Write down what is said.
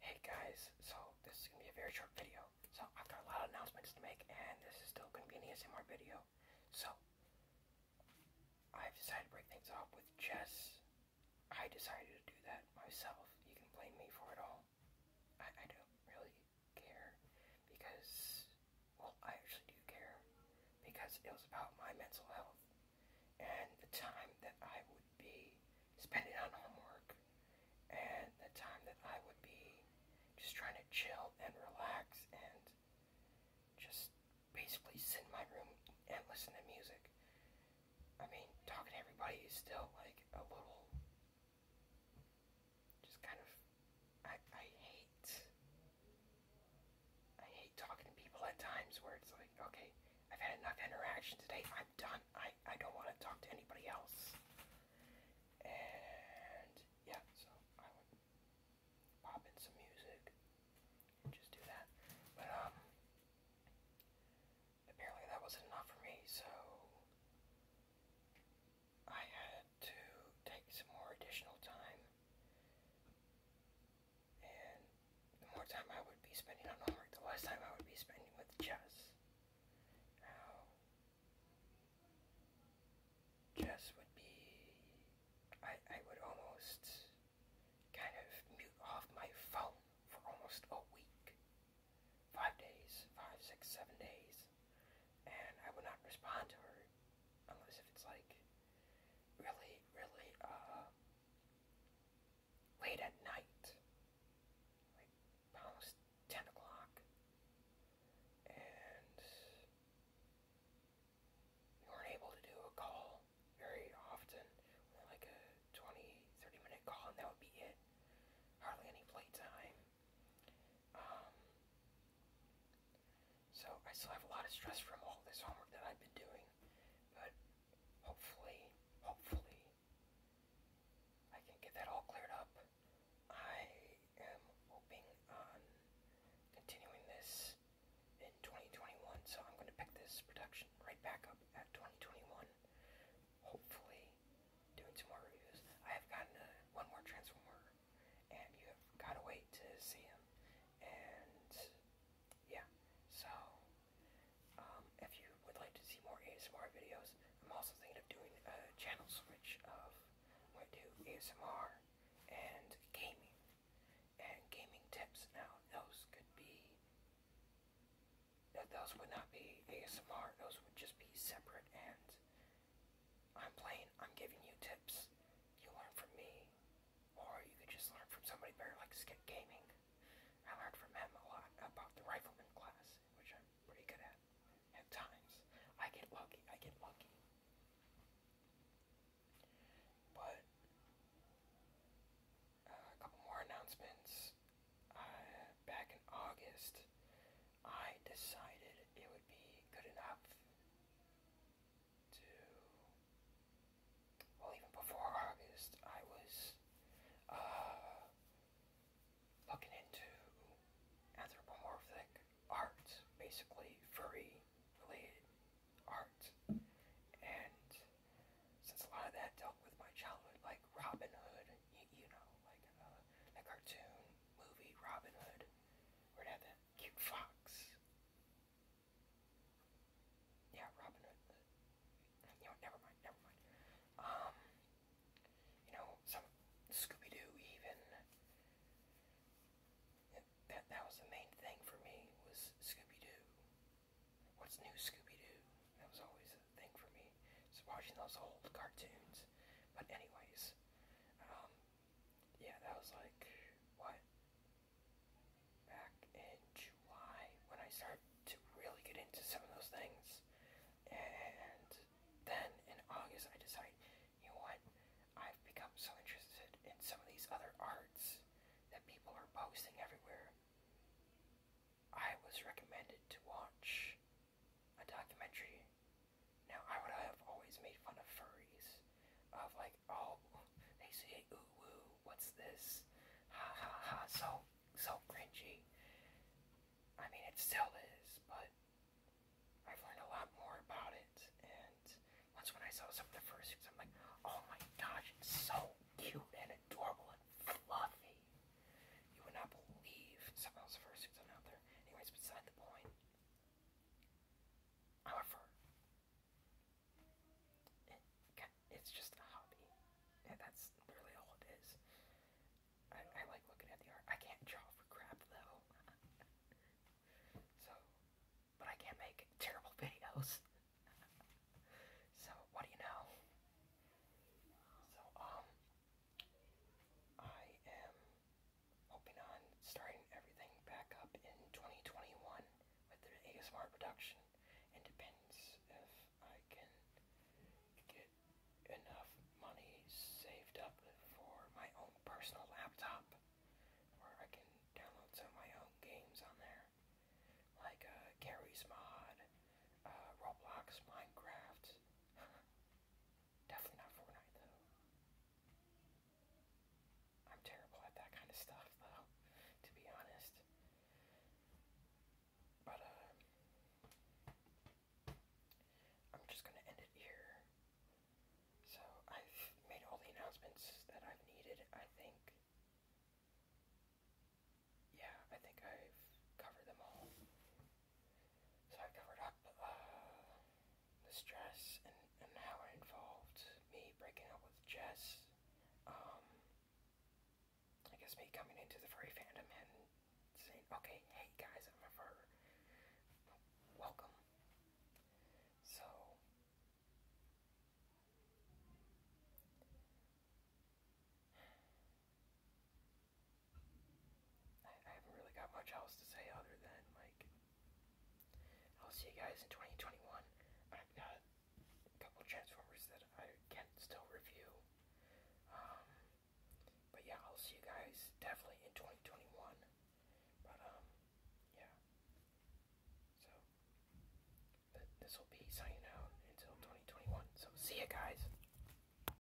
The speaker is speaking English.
Hey guys, so this is going to be a very short video. So I've got a lot of announcements to make and this is still going to be an video. So, I've decided to break things off with chess. I decided to do that myself. You can blame me for it all. I don't really care because, well, I actually do care because it was about my mental health and the time that I would be spending on homework and the time that I would be just trying to chill and relax and just basically sit in my room and listen to music. I mean, talking to everybody is still like a little just kind of I, I hate I hate talking to people at times where it's like, okay, I've had enough interaction today. I'm done. I, I don't want to talk to anybody else. And yeah, so I would pop in some music and just do that. But um apparently that wasn't enough for me, so I had to take some more additional time and the more time I would be spending on homework, the less time I would be spending with chess. Now, chess would be, I, I would almost kind of mute off my phone for almost a week. Five days, five, six, seven days. And I would not respond to her unless if it's like really, really, uh, late at night, like almost 10 o'clock, and we weren't able to do a call very often, like a 20, minute call, and that would be it. Hardly any playtime. Um, so I still have a lot of stress from all this homework that I've been doing. But hopefully, hopefully, I can get that all cleared up. I am hoping on continuing this in 2021, so I'm going to pick this production right back up at 2021. Hopefully, doing some more reviews. I have gotten one more Transformer, and you have got to wait to see him. And yeah, so, um, if you would like to see more ASMR videos, I'm also thinking of doing a channel switch of, i to ASMR and gaming, and gaming tips. Now, those could be, those would not be ASMR, those would just be separate and I'm playing, I'm giving you tips, you learn from me, or you could just learn from somebody better like Skip Gaming. I learned from him a lot about the riflemen class, which I'm pretty good at at times. I get lucky, I get lucky. But uh, a couple more announcements. Uh, back in August, I decided it would be good enough well even before August I was uh, looking into anthropomorphic art, basically furry related art. And since a lot of that dealt with my childhood, like Robin Hood, you, know, like uh, the cartoon movie Robin Hood, where it had that cute fox yeah, Robin Hood. Uh, uh, you know, never mind, never mind. Um, you know, some Scooby Doo even. That that was the main thing for me was Scooby Doo. What's new, Scooby Doo? That was always a thing for me. It's watching those old cartoons. But anyways, um, yeah, that was like, what? Back in July when I started to really get into some of those things. And then in August, I decided, you know what? I've become so interested in some of these other arts that people are posting everywhere. I was recommended to watch a documentary now, I would have always made fun of furries, of like, oh, they say ooh woo, what's this? Ha so, so cringy. I mean, it still is, but I've learned a lot more about it, and once when I saw some of the fur suits, I'm like, oh my gosh, it's so cute and adorable and fluffy. You would not believe some of those fursuits on out there. Anyways, beside the point, However, it's just a hobby, and that's really all it is. I, like looking at the art. I can't draw for crap though, so but I can make terrible videos. so what do you know? So um, I am hoping on starting everything back up in 2021 with the ASMR production. depends if I can get enough money saved up for my own personal laptop where I can download some my own games on there. Like uh, Gary's Mod, uh, Roblox, Minecraft. Definitely not Fortnite, though. I'm terrible at that kind of stuff, though, to be honest. But, uh, I'm just gonna end it here. So, I've made all the announcements that I've needed, I think. Yeah, I think I've covered them all. So I covered up uh, the stress and, and how it involved me breaking up with Jess. Um, I guess me coming into the furry fandom and saying, okay, hey guys, I'm a fur. Welcome. So, I, haven't really got much else to say other than, like, I'll see you guys in 2021. I've got a couple Transformers that I can still review. Um, but yeah, I'll see you guys definitely in 2021. But, um, yeah. So, this will be signing out until 2021. So, see you guys.